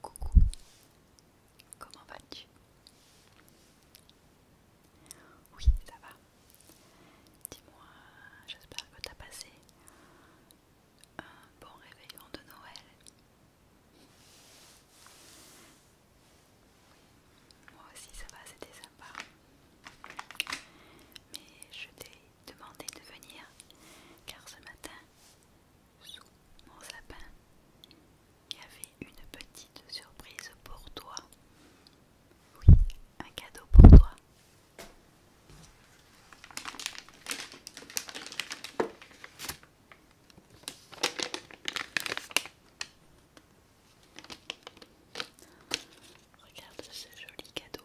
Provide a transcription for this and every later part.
Coucou, comment vas-tu Oui, ça va. Dis-moi, j'espère que t'as passé un bon réveillon de Noël. Moi aussi ça va, c'était sympa. Mais je t'ai Demandez de venir, car ce matin, sous mon sapin, il y avait une petite surprise pour toi. Oui, un cadeau pour toi. Regarde ce joli cadeau.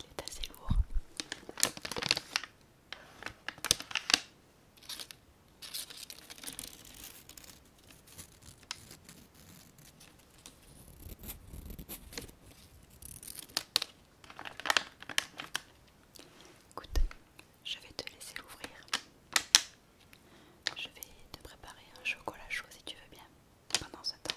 Il est assez lourd. Écoute, je vais te laisser l'ouvrir. Je vais te préparer un chocolat chaud si tu veux bien pendant ce temps.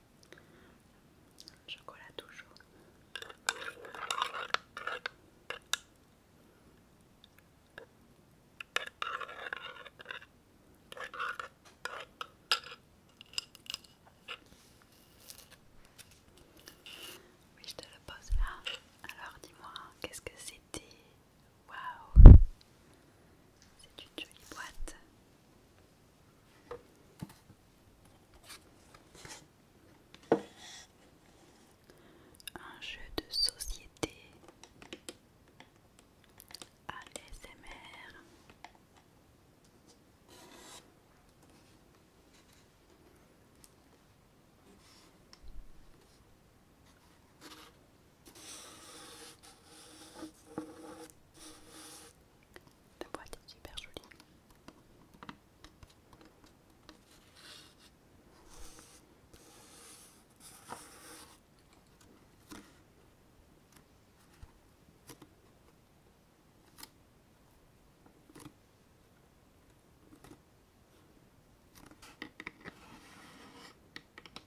Chocolat toujours. Oui, je te le pose là. Alors dis-moi, qu'est-ce que c'était Waouh C'est une jolie boîte. Un jeu de société ASMR la boîte est super jolie.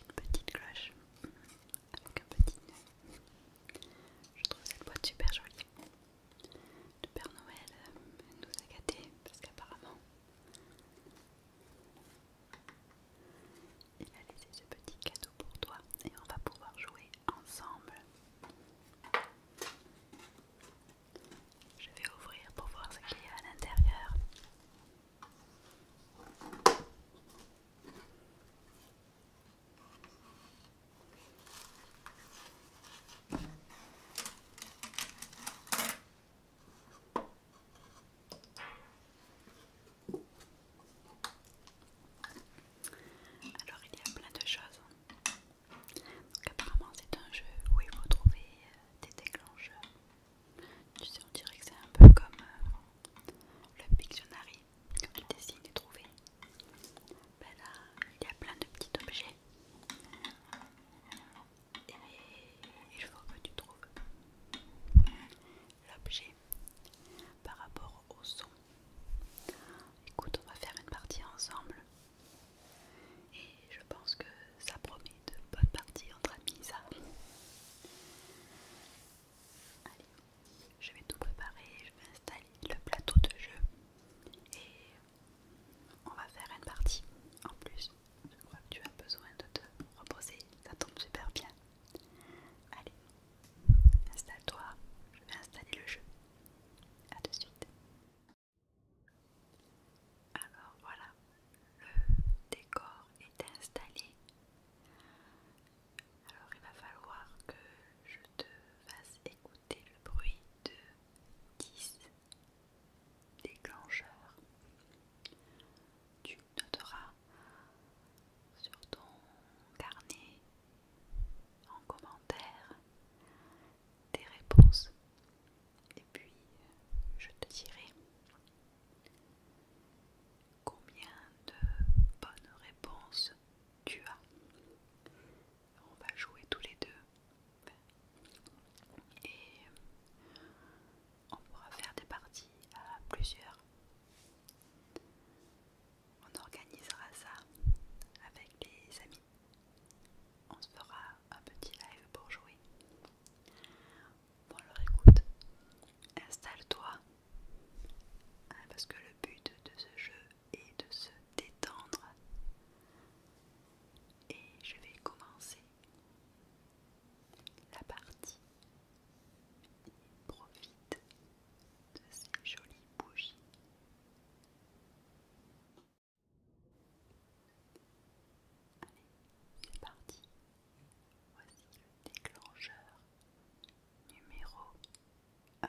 Une petite cloche avec un petit nœud. Je trouve cette boîte super jolie. de Père Noël euh, nous a gâtés parce qu'apparemment il a laissé ce petit cadeau pour toi et on va pouvoir jouer ensemble. Je vais ouvrir pour voir ce qu'il y a à l'intérieur. Alors il y a plein de choses. Donc apparemment c'est un jeu où il faut trouver euh, des déclencheurs. Tu sais on dirait que c'est un peu comme euh, le Pictionary, que tu dessines et trouver. Ben là il y a plein de petits objets. Et il faut que tu trouves l'objet par rapport au son. Écoute, on va faire une partie ensemble. Et je pense que ça promet de bonnes parties entre amis, ça. Allez, je vais tout préparer, je vais installer le plateau de jeu et on va faire une partie. En plus, je crois que tu as besoin de te reposer, ça tombe super bien. Allez, installe-toi, je vais installer le jeu. A de suite. Alors voilà, le décor est installé. Alors il va falloir que je te fasse écouter le bruit de 10 déclencheurs. Tu noteras sur ton carnet en commentaire des réponses et puis je te dirai combien de bonnes réponses tu as. On va jouer tous les deux et on pourra faire des parties à plusieurs. On organisera ça avec les amis on se fera un petit live pour jouer. Bon alors écoute, installe-toi, hein, parce que le but de ce jeu est de se détendre. Et je vais commencer la partie. Profite de ces jolies bougies Allez, c'est parti. Voici le déclencheur numéro 1.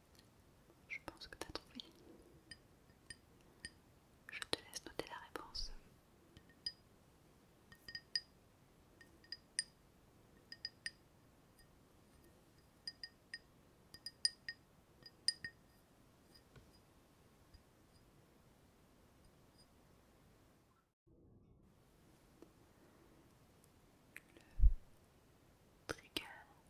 Je pense que tu as trouvé. Je te laisse noter la réponse. Le Numéro 2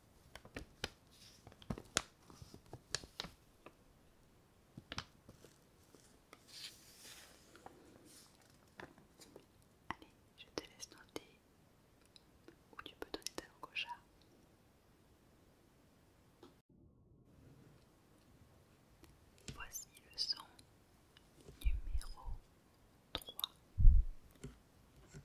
Allez, je te laisse noter Ou tu peux donner ta langue Voici le son numéro 3.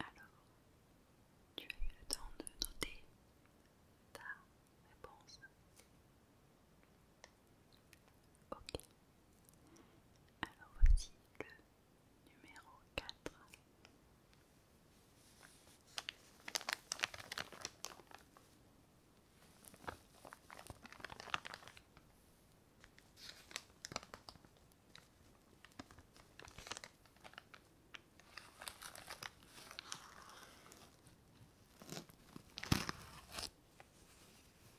Alors, tu as eu le temps de noter ta réponse Ok. Alors voici le numéro 4.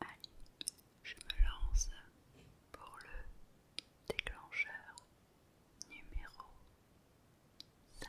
Allez, je me lance pour le déclencheur numéro 5.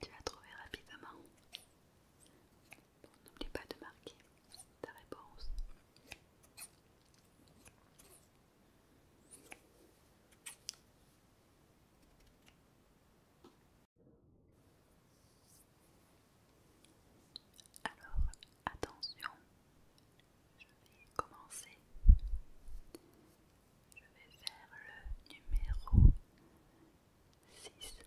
Tu vas trouver rapidement. n'oublie pas de marquer ta réponse. Alors, attention, je vais commencer. Je vais faire le numéro 6.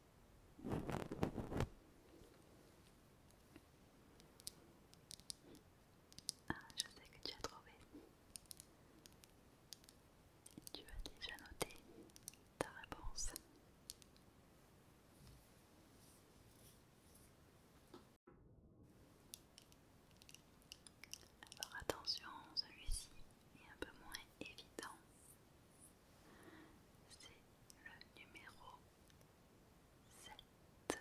Ah, je sais que tu as trouvé. tu as déjà noté ta réponse. Alors attention, celui-ci est un peu moins évident c'est le numéro 7.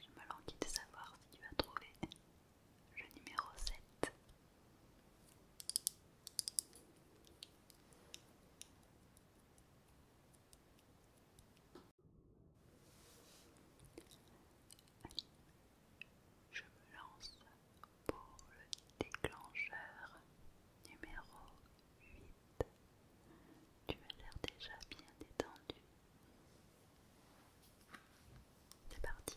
Je me mal de savoir si tu vas trouver le numéro 7. je me lance pour le déclencheur numéro 8. Tu as l'air déjà bien détendu. C'est parti.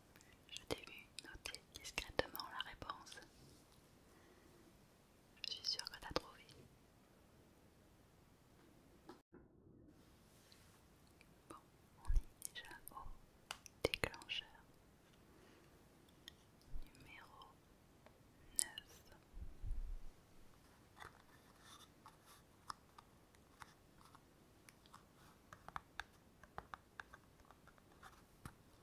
Je t'ai vu noter discrètement la réponse. Je suis sûre que t'as trouvé. Bon, on est déjà au déclencheur. Numéro 9.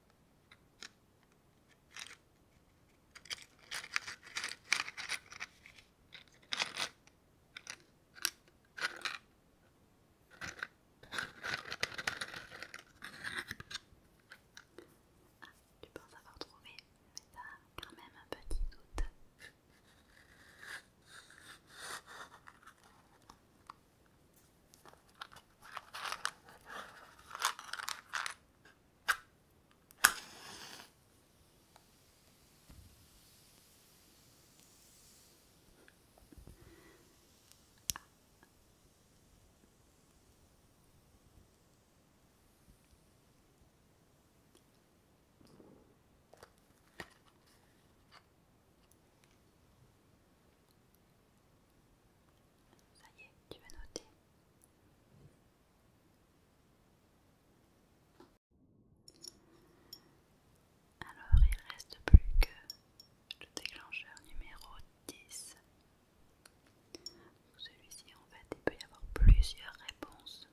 Ah, tu penses avoir trouvé, mais t'as quand même un petit doute. Ça y est, tu vas noter. Alors il reste plus que le déclencheur numéro 10. Celui-ci en fait il peut y avoir plusieurs réponses.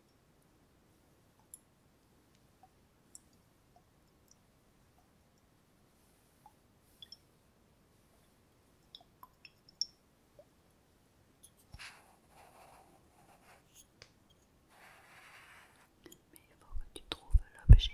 Mais il faut que tu trouves l'objet.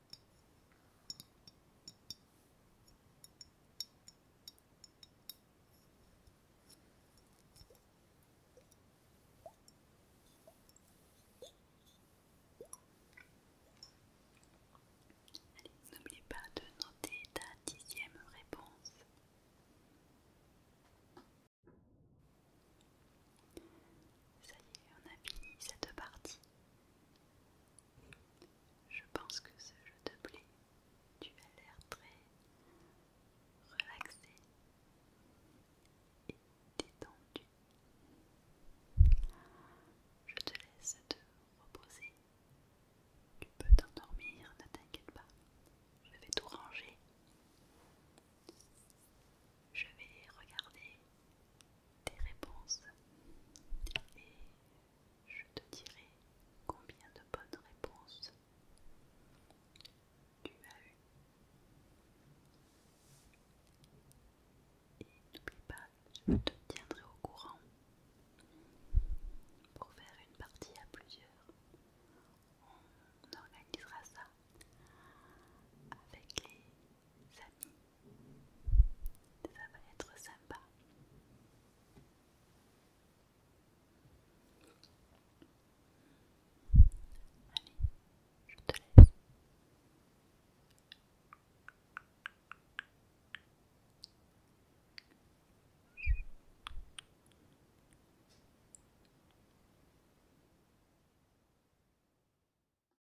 Allez, n'oublie pas de noter ta dixième réponse. Ça y est, on a fini cette partie. Je pense que ce jeu te plaît. Tu as l'air très relaxé et détendu. Je te laisse te reposer. Tu peux t'endormir, ne t'inquiète pas. Je vais tout ranger. Je vais regarder tes réponses et je te dirai combien de bonnes réponses tu as eues. Et n'oublie pas, je te tiendrai au courant pour faire une partie à plusieurs. On organisera ça avec les amis ça va être sympa. Allez, je te laisse.